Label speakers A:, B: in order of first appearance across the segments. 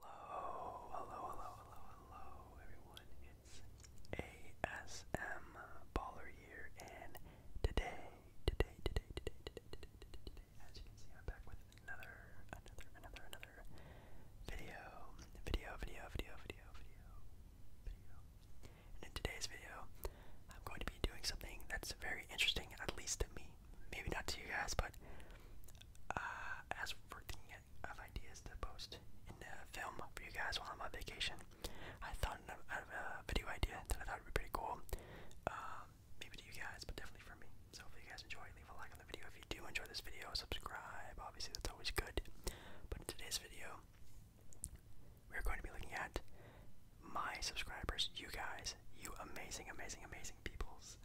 A: Hello, hello, hello, hello, hello, everyone. It's ASM Baller here, and today, today, today, today, today, today, today, today, as you can see, I'm back with another, another, another, another video, video, video, video, video, video, video. And in today's video, I'm going to be doing something that's very interesting, at least to me maybe not to you guys, but uh, as for thinking of ideas to post in a film for you guys while I'm on vacation, I thought of a video idea that I thought would be pretty cool. Um, maybe to you guys, but definitely for me. So if you guys enjoy. Leave a like on the video if you do enjoy this video. Subscribe, obviously that's always good. But in today's video, we're going to be looking at my subscribers, you guys, you amazing, amazing, amazing people's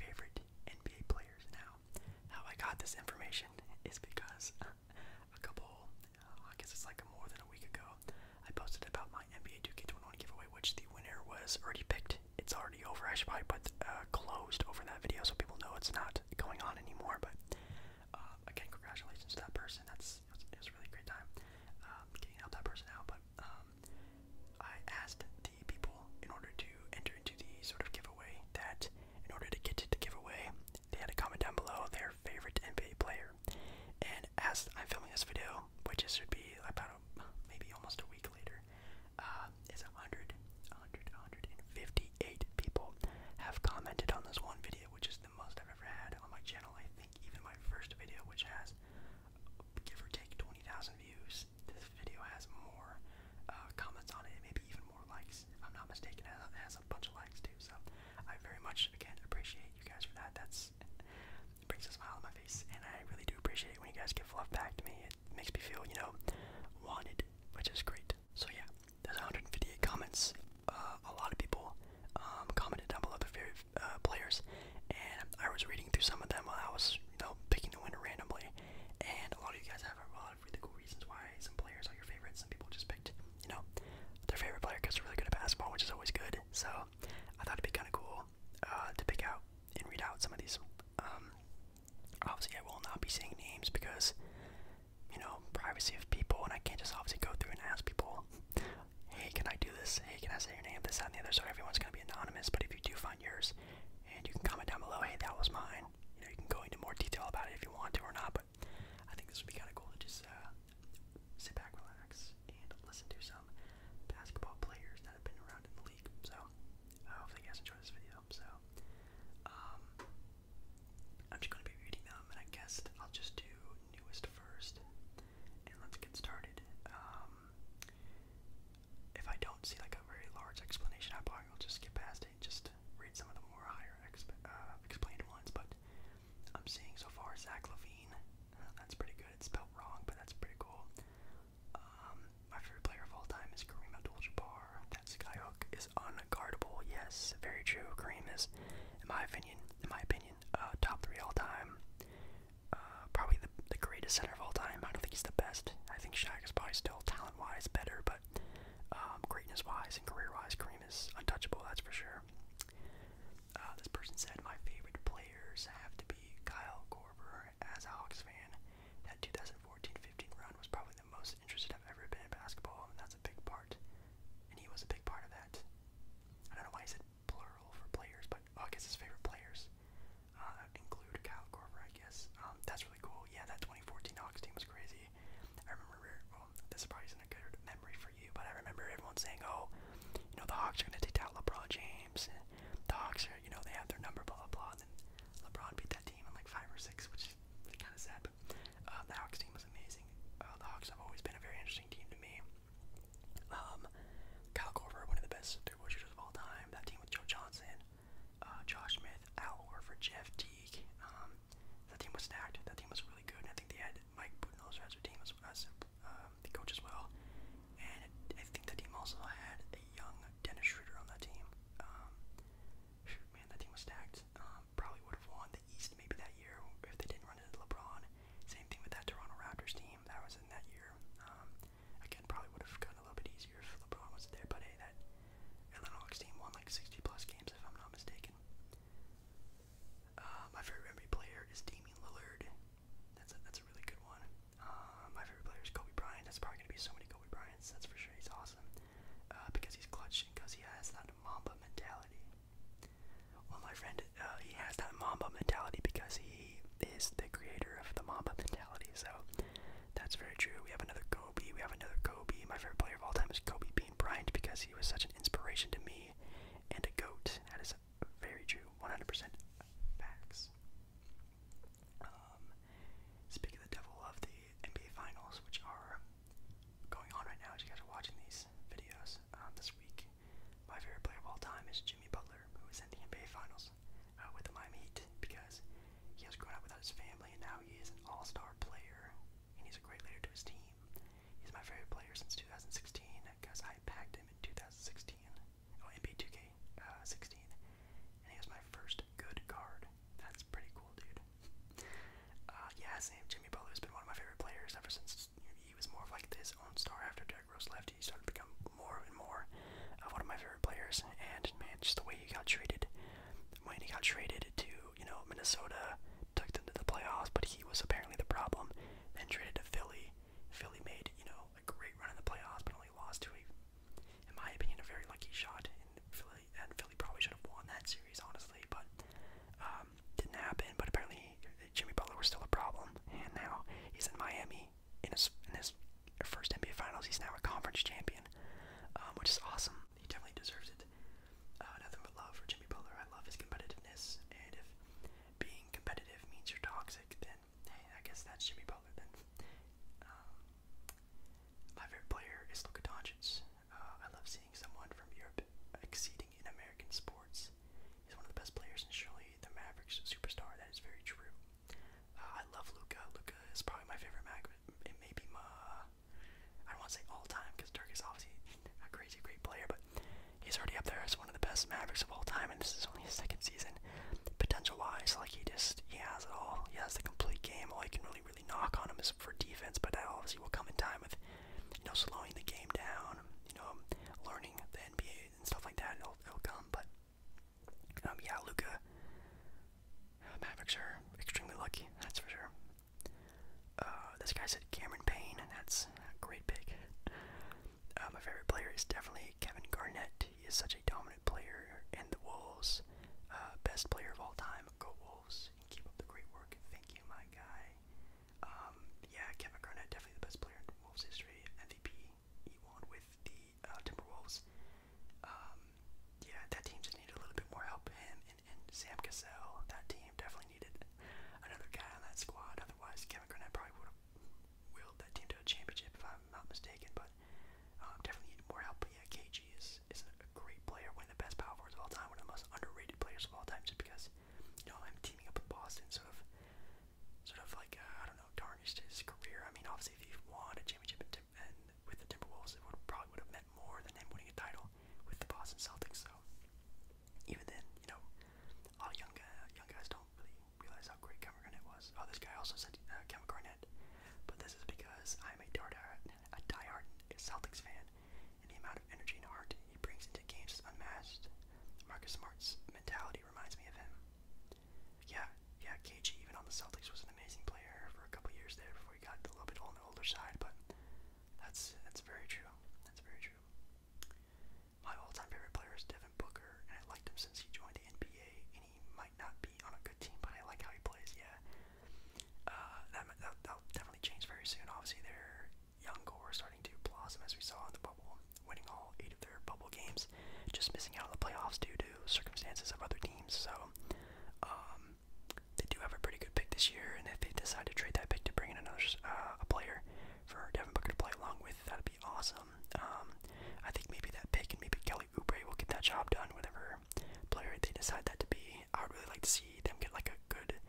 A: favorite NBA players now. How I got this information is because a couple, I guess it's like more than a week ago, I posted about my NBA 2K21 giveaway, which the winner was already picked. It's already over. I should probably put uh, closed over that video so people know it's not going on anymore. But uh, again, congratulations to that person. That's it was, a really great time um, getting out that person out. But um, I asked the people in order to enter into the sort of giveaway that in order to get to the giveaway, they had to comment down below their favorite NBA player. And as I'm filming this video, which is, should be about a, maybe almost a week later, uh, is 100, 100, 158 people have commented on this one video, which is the most I've ever had on my channel. I think even my first video, which has give or take 20,000 views, this video has more uh, comments on it, maybe even more likes. If I'm not mistaken, it has a bunch of likes too. So I very much again appreciate you guys for that. That's it brings a smile on my face, and I really do appreciate it when you guys give fluff back to me. It makes me feel, you know, wanted, which is great. So yeah, there's 158 comments. Uh, a lot of people um, commented down below their favorite uh, players, and I was reading through some of them while I was, you know, picking the winner randomly and a lot of you guys have a lot of really cool reasons why some players are your favorites. Some people just picked, you know, their favorite player because they're really good at basketball, which is always good. So I thought it'd be kind of cool uh, to pick out and read out some of these. Um, obviously, I will not be saying names because, you know, privacy of people, and I can't just obviously go through and ask people, hey, can I do this? Hey, can I say your name? This, that, and the other. So everyone's going to be anonymous, but if you do find yours, and you can comment down below, hey, that was mine. You know, you can go into more detail about it if you want to or not, but I think this would be kind of cool to just uh, sit back, relax, and listen to some basketball players that have been around in the league. So, hopefully, you guys enjoyed this video. So, um, I'm just going to be reading them, and I guess I'll just do newest first, and let's get started. Um, if I don't see like a very large explanation, I probably will just skip past it just read some of the more higher uh, explained ones. But I'm seeing so far Zach Levine. Uh, that's pretty good. It's spelled wrong, but that's pretty cool. Um, my favorite player of all time is Kareem Abdul-Jabbar. That skyhook is unguardable. Yes, very true. Kareem is, in my opinion, in my opinion, uh, top three all time. Uh, probably the, the greatest center of all time. I don't think he's the best. I think Shaq is probably still talent-wise better, but um, greatness-wise and career-wise, Kareem is untouchable. That's for sure. Uh, this person said my favorite players have to be Kyle Korver as a Hawks fan. That 2014-15 run was probably the most interested I've ever been in basketball, and that's a big part. And he was a big part of that. I don't know why he said plural for players, but oh, I guess his favorite players. Uh, include Kyle Korver, I guess. Um, that's really cool. Yeah, that 2014 Hawks team was crazy. I remember, well, this probably isn't a good memory for you, but I remember everyone saying, oh, you know, the Hawks are going to take out LeBron James. And the Hawks are, you know, they have their number, blah, blah, blah. then LeBron beat that team in like five or six, which is kind of sad, but uh, the Hawks team was amazing. Uh, the Hawks have always been a very interesting team to me. Um, Kyle Korver, one of the best three-point shooters of all time. That team with Joe Johnson, uh, Josh Smith, Al Horford, Jeff Teague. Um, that team was stacked. That team was really good. And I think they had Mike Budenholzer as their team as, as um, the coach as well. And I think the team also had a young Dennis Schroeder on that team. Um, man, that team was stacked. Um, probably would have won the East maybe that year if they didn't run into LeBron. Same thing with that Toronto Raptors team that was in that year. Um, Again, probably would have gotten a little bit easier if LeBron was there, but hey, that Atlanta Hawks team won like 60 plus games, if I'm not mistaken. Uh, my favorite NBA player is Damian Lillard. That's that's a really good one. Uh, my favorite player is Kobe Bryant. That's probably gonna be so many Kobe Bryants. That's for sure. He's awesome uh, because he's clutching because he has that Mamba mentality. Well, my friend, he has that Mamba mentality because he he is the creator of the Mamba mentality. So that's very true. We have another Kobe. We have another Kobe. My favorite player of all time is Kobe Bean Bryant because he was such an inspiration to me and a goat. That is very true. 100% facts. Um, speaking of the devil of the NBA Finals, which are going on right now as you guys are watching these videos um, this week, my favorite player of all time is Jimmy Butler, who is in the NBA Finals Williams uh, with the Miami Heat because he has grown up without his family and now he is an all star player and he's a great leader to his team. He's my favorite player since 2016 because uh, I packed him in 2016. Oh, NBA 2K16. Uh, and he was my first good card. That's pretty cool, dude. Uh, yeah, same. Jimmy Butler's been one of my favorite players ever since he was more of like his own star after Derrick Rose left. He started to become more and more of one of my favorite players. And man, just the way he got traded, when he got traded to you know Minnesota, took them to the playoffs, but he was apparently the problem. Then traded to Philly. Philly made you know a great run in the playoffs, but only lost to a, in my opinion, a very lucky shot. And Philly and Philly probably should have won that series honestly, but um, didn't happen. But apparently Jimmy Butler was still a problem, and now he's in Miami in his first NBA Finals. He's now a conference champion, um, which is awesome. He definitely deserves it. Uh, nothing but love for Jimmy Butler. I love his competitiveness, and if being competitive means you're toxic, then hey, I guess that's Jimmy Butler. Then um, my favorite player is Luka Doncic. Uh, I love seeing someone from Europe exceeding in American sports. He's one of the best players, and surely the Mavericks superstar. That is very true. Uh, I love Luca. Luca is probably my favorite mag. It may be my, I don't want to say all time because Dirk is obviously a crazy great player, but he's already up there as one of the best Mavericks of all time, and this is only his second season. Potential wise, like he just he has it all. He has the complete game. All you can really really knock on him is for defense, but that obviously will come in time with you know slowing the game down, you know learning the NBA and stuff like that. It'll, it'll come, but um, yeah, Luca. Uh, Mavericks are extremely lucky, that's for sure. Uh, this guy said Cameron Payne, and that's a great pick. Uh, my favorite player is definitely Kevin Garnett. He is such a dominant player in the Wolves. best player of all time. Go Wolves. Keep up the great work. Thank you, my guy. Um, yeah, Kevin Garnett, definitely the best player in Wolves history. MVP, he won with the uh, Timberwolves. Um, yeah, that team just needed a little bit more help. Him and, and Sam Cassell, that team definitely needed another guy on that squad. Otherwise, Kevin Garnett probably would have willed that team to a championship, if I'm not mistaken. But um, definitely needed more help. But yeah, KG is is a great player, one of the best power forwards of all time, one of the most underrated players of all time, just because you know I'm teaming up with Boston, sort of, sort of like uh, I don't do his career. I mean, obviously, if he won a championship and with the Timberwolves, it would probably would have meant more than him winning a title with the Boston Celtics. So even then, you know, all young uh, young guys don't really realize how great Kevin Garnett was. Oh, this guy also said uh, Kevin Garnett, but this is because I'm a diehard a diehard Celtics fan, and the amount of energy and heart he brings into games is unmatched. Marcus Smart's mentality reminds me of him yeah, yeah, KG even on the Celtics was an amazing player for a couple years there before he got a little bit on the older side, but that's that's very true. That's very true. My all-time favorite player is Devin Booker, and I liked him since he joined the NBA. And he might not be on a good team, but I like how he plays. Yeah, uh, that that'll, that'll definitely change very soon. Obviously, their young core starting to blossom as we saw in the bubble, winning all all eight of their bubble games, just missing out on the playoffs due to circumstances of other teams. So um, they do have a pretty good pick this year, and if they decide to trade that pick to bring in another uh, a player for Devin Booker to play along with, that'd be awesome. Um, I think maybe that pick and maybe Kelly Oubre will get that job done, whatever player they decide that to be. I would really like to see them get like a good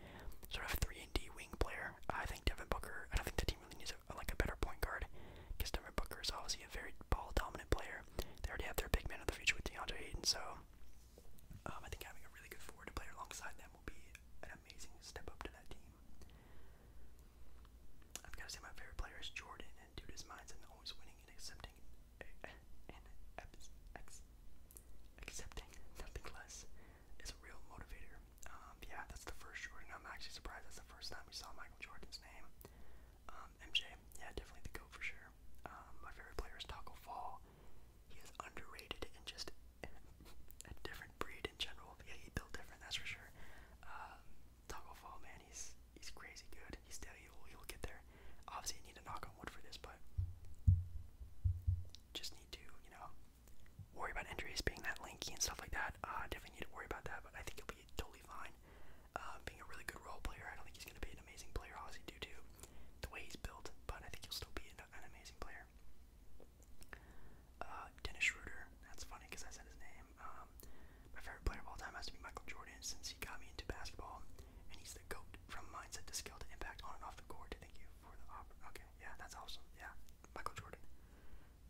A: sort of three and D wing player. I think Devin Booker. I don't think the team really needs a like a better point guard. Because Devin Booker is obviously a very ball dominant player. They already have their big man of the future with DeAndre Ayton, so um, I think having a really good forward player alongside them will be an amazing step up to that team. I've got to say my favorite player is Jordan, and dude, mindset always winning and accepting eh, accepting nothing less is a real motivator. Um, yeah, that's the first Jordan. I'm actually surprised that's the first time we saw Michael Jordan's name. MJ, um, yeah, definitely the GOAT for sure. Um, my favorite player is Taco Fall. He is underrated and just a different breed in general. Yeah, he built different, that's for sure. Um, Taco Fall, man, he's he's crazy good. He's steady. He'll, get there. Obviously, you need to knock on wood for this, but just need to, you know, worry about injuries being that lanky and stuff like that. Uh, definitely need to worry about that, but I think he'll be totally fine uh, being a really good role player. I don't think he's going to be an amazing player, obviously, due to the way he's built, but I think he'll still be an, an amazing player. Uh, Dennis Schroeder, that's funny because I said his name. Um, my favorite player of all time has to be Michael Jordan since he got me into basketball, and he's the GOAT from mindset to skill to impact on and off the court. Thank you for the op. Okay, yeah, that's awesome. Yeah, Michael Jordan.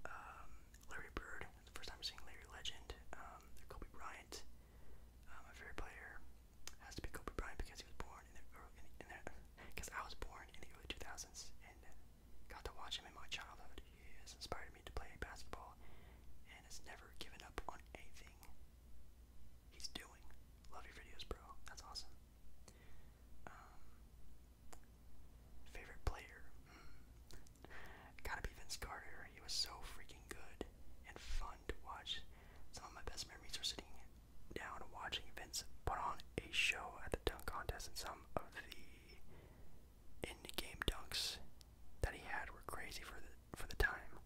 A: Um, Larry Bird, first time I'm seeing Larry Legend. Um, Kobe Bryant, uh, favorite player, has to be Kobe Bryant because he was born in the because I was born in the early 2000s and got to watch him in my childhood. He has inspired me to play basketball and has never given up on anything he's doing. Love your videos, bro. That's awesome. Um, favorite player? Hmm. Gotta be Vince Carter. He was so freaking good and fun to watch. Some of my best memories are sitting down and watching Vince put on a show at the dunk contest, and some of the in-game dunks that he had were crazy for the for the time.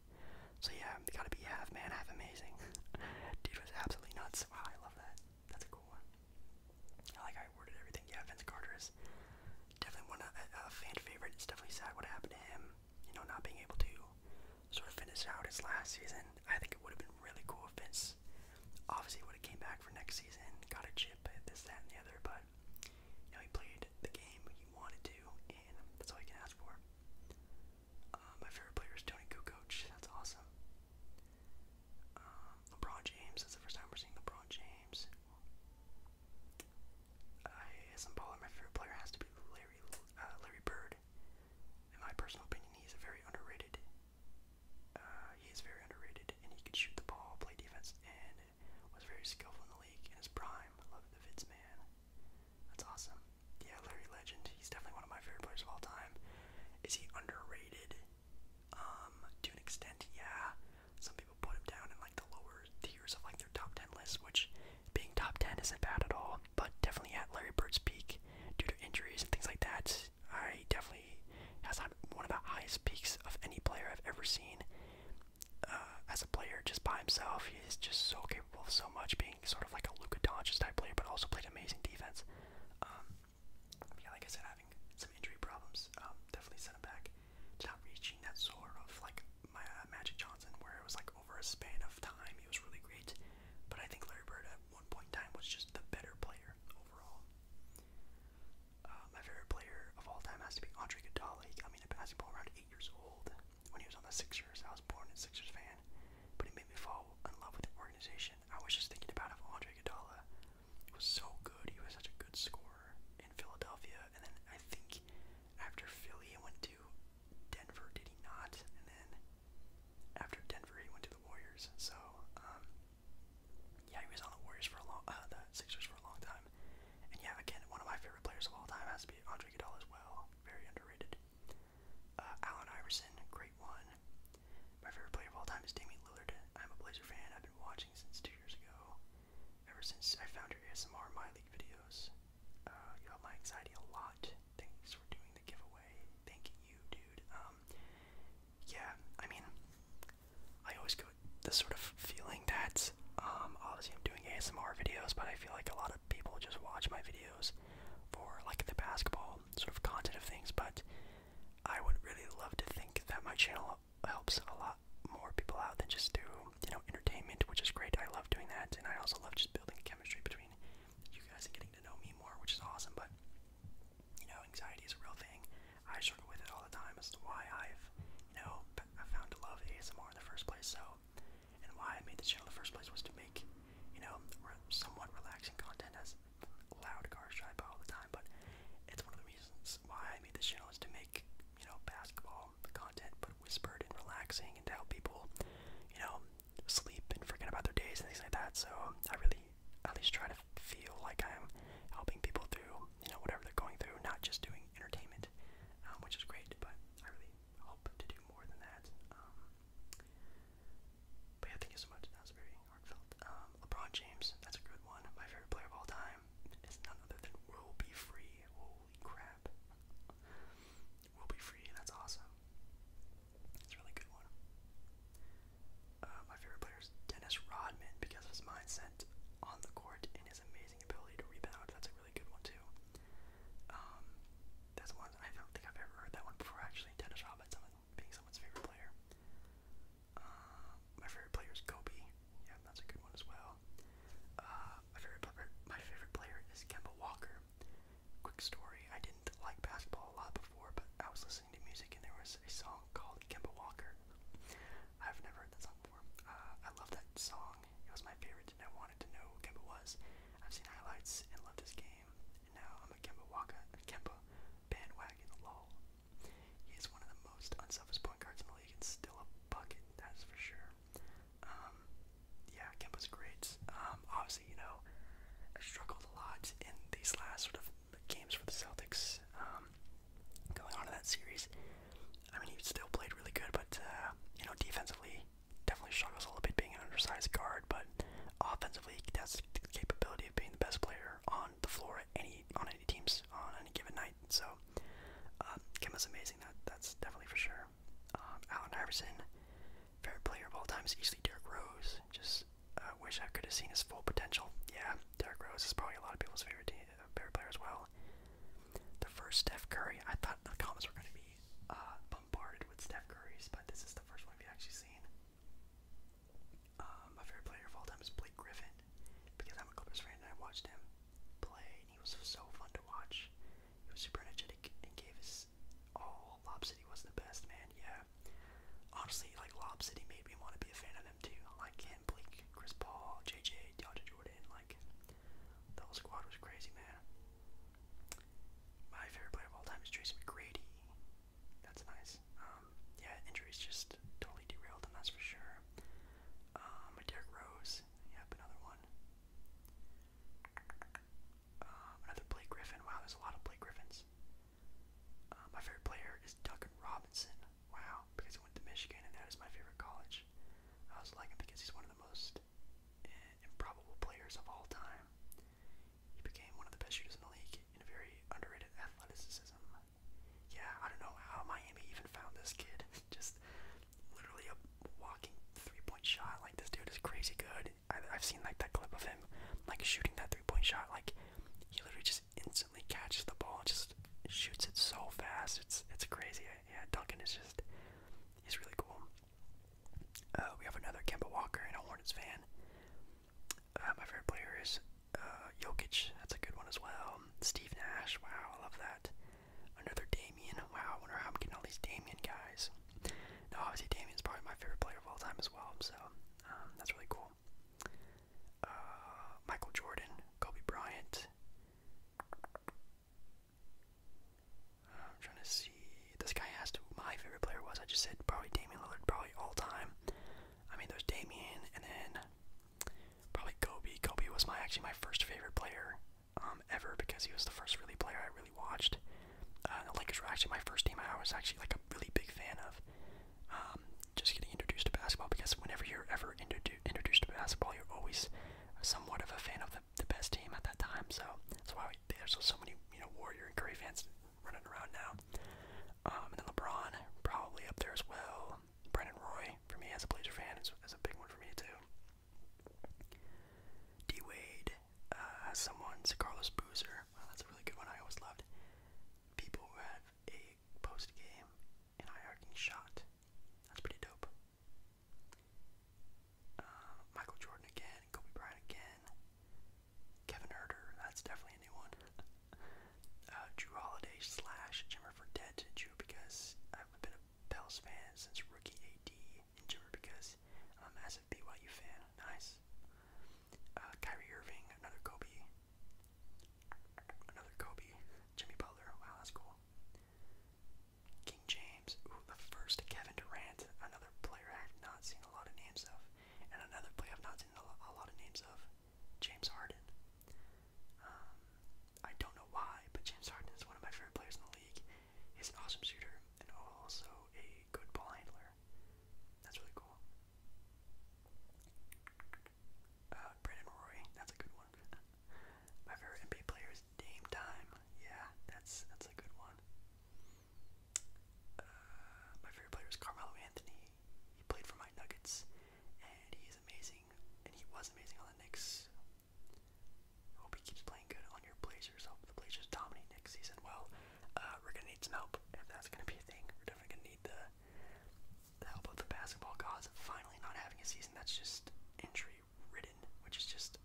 A: So yeah, gotta be half man, half amazing. Dude was absolutely nuts. Wow, I love that. That's a cool one. like I worded everything. Yeah, Vince Carter definitely one of a, a fan favorite. It's definitely sad what happened to him. You know, not being able to sort of finish out his last season. I think it would have been really cool if Vince obviously would have came back for next season, got a chip, this, that, and the other. But you know, he played the game he wanted to, and that's all you can ask for. Uh, my favorite player is Tony Kukoc. That's awesome. Um, LeBron James. That's the first time we're seeing LeBron James. I, as an bowler, my favorite player has to be Larry uh, Larry Bird. In my personal opinion, he's a very underrated. Uh, he is very underrated, and he could shoot the ball, play defense, and was very skillful in the league in his prime. I love the Vids man. That's awesome. Yeah, Larry Legend. He's definitely one of my favorite players of all time. Is he underrated? Um, to an extent, yeah. Some people put him down in like the lower tiers of like their top 10 list, which being top 10 isn't bad at all, but definitely at Larry Bird's peak due to injuries and things like that. I definitely has one of the highest peaks of any player I've ever seen. Uh, as a player, just by himself, he is just so capable of so much, being sort of like a Luka Doncic type player, but also played amazing defense. Um, yeah, like I said, having some injury problems um, definitely sent him back not reaching that sort of like my, uh, Magic Johnson, where it was like over a span of time, he was really great. But I think Larry Bird at one point in time was just the better player overall. Uh, my favorite player of all time has to be Andre Iguodala. He got me into basketball around eight years old when he was on the Sixers. I was born a Sixers fan, but he made me fall in love with the organization. I was just thinking about if Andre Iguodala was so good. He was such a good scorer in Philadelphia, and then I think after Philly, he went to Denver, did he not? And then after Denver, he went to the Warriors. So, um, yeah, he was on the Warriors for a long, uh, the Sixers for a long time. And yeah, again, one of my favorite players of all time has to be Andre Iguodala as well. Very underrated. Uh, Allen Iverson, great one. My favorite player of all time is Damian Lillard. I'm a Blazer fan. I've been watching watching since two years ago. Ever since I found your ASMR My League videos, uh, you helped my anxiety a lot. Thanks for doing the giveaway. Thank you, dude. Um, yeah, I mean, I always go this sort of feeling that um, obviously I'm doing ASMR videos, but I feel like a lot of people just watch my videos for like the basketball sort of content of things. But I would really love to think that my channel helps a lot more people out than just through you know entertainment, which is great. I love doing that, and I also love just building chemistry between you guys and getting to know me more, which is awesome. But you know, anxiety is a real thing. I struggle with it all the time as to why I've you know I found to love ASMR in the first place. So, and why I made this channel in the first place was to make you know re somewhat relaxing content as loud cars drive by all the time. But it's one of the reasons why I made this channel is to make, you know, basketball content, but whispered and relaxing and to help people, you know, sleep and forget about their days and things like that. So um, I really at least try to feel like I'm helping people through, you know, whatever they're going through, not just doing entertainment, um, which is great, but I really hope to do more than that. Um, but yeah, thank you so much. That was very heartfelt. LeBron James, that's a good one. My favorite player of all time is none other than Will Be Free. Holy crap. Will Be Free, that's awesome. It's a really good one. Uh, my favorite player is Dennis Rodman because of his mindset on the court and his amazing ability to rebound. That's a really good one, too. Um, that's one I don't think I've ever heard that one actually. Dennis Rodman being someone's favorite player. Uh, my favorite player is Kobe. Yeah, that's a good one as well. Uh, my favorite my favorite player is Kemba Walker. Quick story: I didn't like basketball a lot before, but I was listening to music and there was a song called Kemba Walker. I've never heard that song before. Uh, I love that song. It was my favorite, and I wanted to know who Kemba was. I've seen highlights and loved his game, and now I'm a Kemba Walker, Kemba bandwagon. Lol. He is one of the most unselfish point guards in the league and still a bucket, that's for sure. Um, yeah, Kemba's great. Um, obviously, you know, I struggled a lot in these last sort of games for the Celtics. Um, going on to that series, I mean, he still played really good, but, uh, you know, defensively, definitely struggles a little bit being an undersized guard, but offensively, he has the capability of being the best player on the floor at any on any teams on any given night. So um, Kemba's amazing. That that's definitely for sure. Um, Allen Iverson, favorite player of all time is easily Derrick Rose. Just uh, wish I could have seen his full potential. Yeah, Derrick Rose is probably a lot of people's favorite uh, favorite player as well. The first Steph Curry. I thought the comments were going to be uh, bombarded with Steph Curry's, but this is the first one we've actually seen. my um, favorite player of all time is Blake Griffin because I'm a Clippers fan and I watched him play, and he was so fun to watch. He was super energetic and gave his all. Lob City was the best, man. Yeah, honestly, like Lob City made me want to be a fan of them too. Like him, Blake, Chris Paul, JJ, DeAndre Jordan. Like the whole squad was crazy, man. My favorite player of all time is Tracy McGrady. That's nice. Um, yeah, injuries just totally derailed him, that's for sure. Um, Derrick Rose, yep, another one. Um, another Blake Griffin. Wow, there's a lot of Blake Griffins. Uh, my favorite player is Duncan Robinson. Wow, because he went to Michigan, and that is my favorite college. I also like him because he's one of the most eh, improbable players of all time. He became one of the best shooters in the league in a very underrated athleticism yeah, I don't know how Miami even found this kid. Just literally a walking three-point shot. Like this dude is crazy good. I, have seen like that clip of him like shooting that three-point shot. Like he literally just instantly catches the ball, and just shoots it so fast. It's it's crazy. Yeah, Duncan is just he's really cool. Uh, we have another Kemba Walker and a Hornets fan. Uh, my favorite player is uh, Jokic. That's a good one as well. Um, Steve Nash, wow, I love that. Another Damien, wow, I wonder how I'm getting all these Damien guys. Now, obviously Damien's probably my favorite player of all time as well, so um, that's really cool. Uh, Michael Jordan, Kobe Bryant. I'm trying to see. This guy asked who my favorite player was. I just said probably Damian Lillard, probably all time. I mean, there's Damian, and then Probably Kobe. Kobe was my actually my first favorite player um, ever because he was the first really player I really watched. Uh, the Lakers were actually my first team I was actually like a really big fan of. Um, just getting introduced to basketball because whenever you're ever introdu introduced to basketball, you're always somewhat of a fan of the, the best team at that time. So that's why we, there's so many you know Warrior and Curry fans running around now. Um, and then LeBron probably up there as well. Brendan Roy for me as a Blazer fan is, is a big one for me too. D Wade uh, Carlos Boozer. that's a really good one. I always loved people who have a post game and hierarchy shot. That's pretty dope. Uh, Michael Jordan again. Kobe Bryant again. Kevin Herter. That's definitely a new one uh, Holiday slash Jimmer Fredette. Drew because I've been a Pels fan since rookie AD, and Jimmer because I'm a massive BYU fan. Nice. Uh, Kyrie Irving, another Kobe. Another Kobe. Jimmy Butler. Wow, that's cool. King James. the first Kevin Durant. Another player I've not seen a lot of names of. And another player I've not seen a lot of names of. James Harden. Um, I don't know why, but James Harden is one of my favorite players in the league. He's an awesome shooter and also a good ball handler. That's really cool. Uh, Brandon Roy, that's a good one. my favorite NBA player is Dame Time. Yeah, that's that's a good one. Uh, my favorite player is Carmelo Anthony. He played for my Nuggets, and he is amazing amazing, and he was amazing on the Knicks. Hope he keeps playing good on your Blazers. Hope the Blazers dominate next season. Well, uh, we're gonna need some help if that's gonna be a thing. We're definitely gonna need the, the help of the basketball gods. Finally, not having a season that's just injury ridden, which is just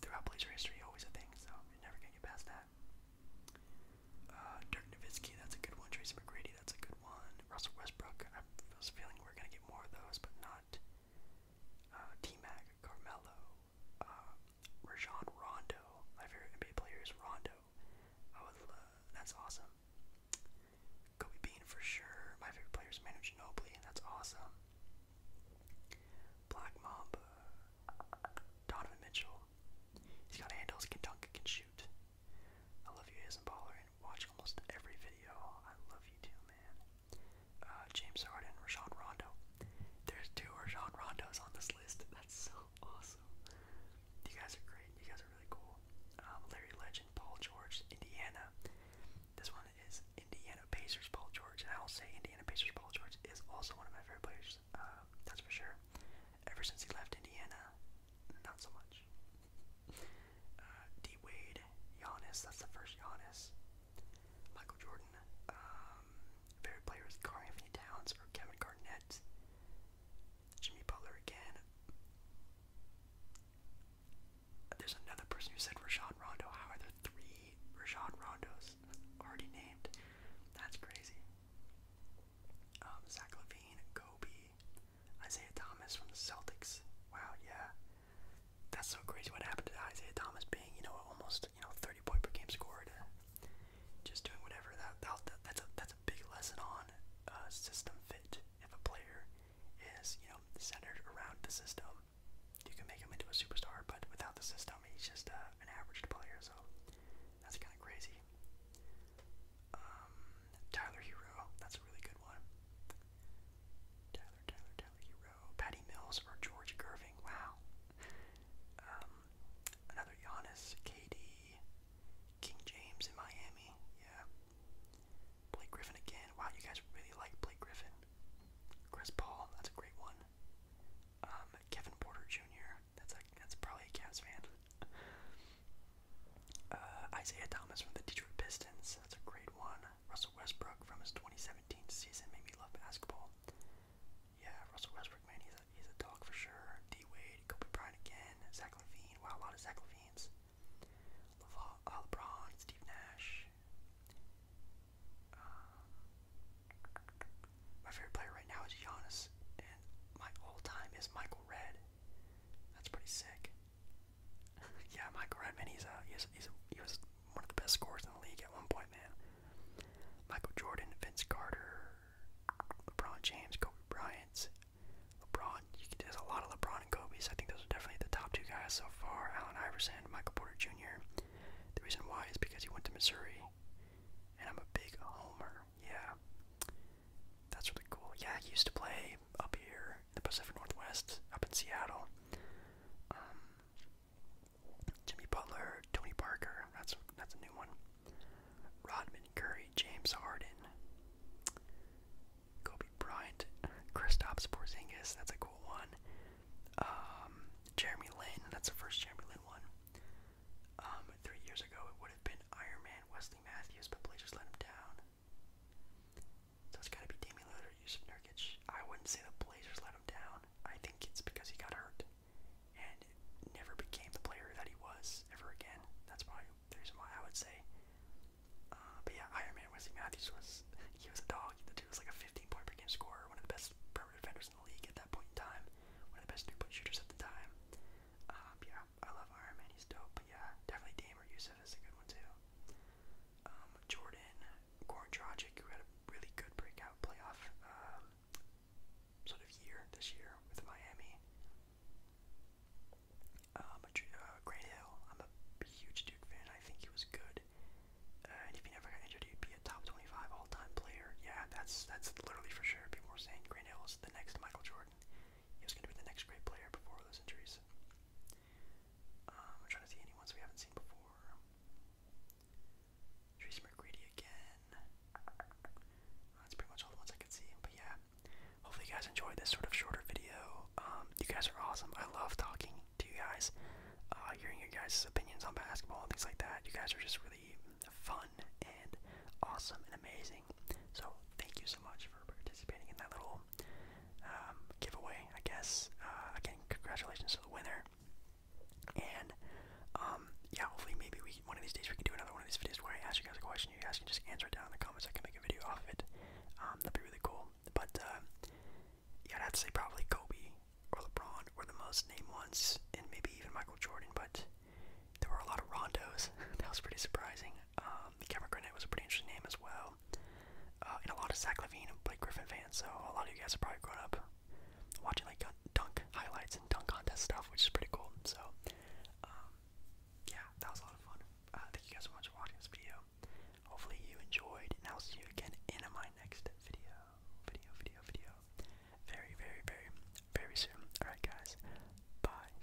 A: throughout Blazer history always a thing. So you're never gonna get past that. Uh, Dirk Nowitzki, that's a good one. Tracy McGrady that's a good one. Russell Westbrook, I was feeling we are gonna get more of those, but not. Uh, T Mac, Carmelo, uh, Rajon Rondo. My favorite NBA player Rondo. I would That's awesome. Kobe Bean for sure. My favorite player Manu Ginobili. That's awesome. Black Mamba. Donovan Mitchell. He's got handles, can dunk, can shoot. I love you, is watch almost every video. I love you too, man. Uh, James Harden, Rajon Rondo. There's two Rajon Rondos on this list. That's so awesome. You guys are great. You guys are really cool. Um, Larry Legend, Paul George, Indiana. This one is Indiana Pacers, Paul George. And I will say Indiana Pacers, Paul George is also one of my favorite players. Uh, that's for sure. Ever since he left Indiana, not so much. Uh, D Wade, Giannis, that's the first Giannis. Michael Jordan, um, players, Carl Towns or Kevin Garnett. Jimmy Butler again. There's another person who said Rashad Rondo. How are there three Rashad Rondos already named? That's crazy. Um, Zach Levine, Kobe, Isaiah Thomas from the Celtics. Wow, yeah. That's so crazy what happened to Isaiah Thomas being, you know, almost, you know, 30 point per game scored. Just doing whatever. That, that that's, a, that's a big lesson on uh, system fit. If a player is, you know, centered around the system, you can make him into a superstar, but without the system, he's just uh, an average player. So that's kind of crazy. Um, Tyler Hero, that's a really good one. Tyler, Tyler, Tyler Hero, Patty Mills or George Gerving. Wow. Um, another Giannis, KD, King James in Miami. Yeah. Blake Griffin again. Wow, you guys really like Blake Griffin. Chris Paul, that's a great one. Um, Kevin Porter Jr. That's that's probably a Cavs fan. Uh, Isaiah Thomas from the Detroit Pistons, that's a great one. Russell Westbrook from his 2017 season made me love basketball. Yeah, Russell Westbrook, man, he's a, he's a dog for sure. D Wade, Kobe Bryant again, Zach Levine. Wow, a lot of Zach Levines. Uh, LeBron, Steve Nash. Uh, my favorite player right now is Giannis, and my all time is Michael Red. That's pretty sick. yeah, Michael Redman, he's, uh, he's, he's, he was one of the best scorers in the league at one point, man. Michael Jordan, Vince Carter, LeBron James, Kobe Bryant, LeBron. You can, there's a lot of LeBron and Kobe's. I think those are definitely the top two guys so far. Allen Iverson, Michael Porter Jr. The reason why is because he went to Missouri, and I'm a big homer. Yeah, that's really cool. Yeah, he used to play up here the Pacific Northwest, up in Seattle. Um, Jimmy Butler, Tony Parker, that's that's a new one. Rodman Curry, James Harden, Kobe Bryant, Kristaps Porzingis, that's a cool one. Um, Jeremy Lin, that's the first Jeremy Lin one. Um, three years ago it would have been Iron Man Wesley Matthews, but Blazers let him down. So it's got to be Damian Lillard or Yusuf Nurkic. I wouldn't say the Blazers let him down. I think it's because he got hurt and never became the player that he was ever again. That's why the reason why I would say. Uh, but yeah, Iron Man Wesley Matthews was he was a dog. The dude was like a 15 point per game scorer, one of the best perimeter defenders in the league at that point in time, one of the best three point shooters at the time. Uh, yeah, I love Iron Man. He's dope. But yeah, definitely Dame Yusuf is a good one too. Um, Jordan, Goran Dragic, who had a really good breakout playoff um, sort of year this year with Miami. Um, uh, Grant Hill, I'm a huge Duke fan. I think he was good. and if he never got injured, he'd be a top 25 all-time player. Yeah, that's that's literally for sure. People were saying Grant Hill is the next Michael Jordan he was going to be the next great player before those injuries. Um, I'm trying to see anyone ones we haven't seen before. Tracy McGrady again. That's pretty much all the ones I could see. But yeah, hopefully you guys enjoyed this sort of shorter video. Um, you guys are awesome. I love talking to you guys, uh, hearing your guys' opinions on basketball and things like that. You guys are just really fun and awesome and amazing. So thank you so much for participating in that little um, giveaway, I guess. Uh, again, congratulations to the winner. And um, yeah, hopefully maybe we one of these days we can do another one of these videos where I ask you guys a question, you guys can just answer it down in the comments. I can make a video off of it. Um, that'd be really cool. But uh, yeah, I'd have to say probably Kobe or LeBron were the most named ones, and maybe even Michael Jordan. But there were a lot of Rondos. that was pretty surprising. Um, Kevin Grenett was a pretty interesting name as well. Uh, and a lot of Zach Levine and Blake Griffin fans, so a lot of you guys have probably grown up watching like dunk highlights and dunk contest stuff, which is pretty cool. So, um, yeah, that was a lot of fun. Uh, thank you guys so much for watching this video. Hopefully you enjoyed, and I'll see you again in my next video, video, video, video, very, very, very, very soon. All right, guys, bye.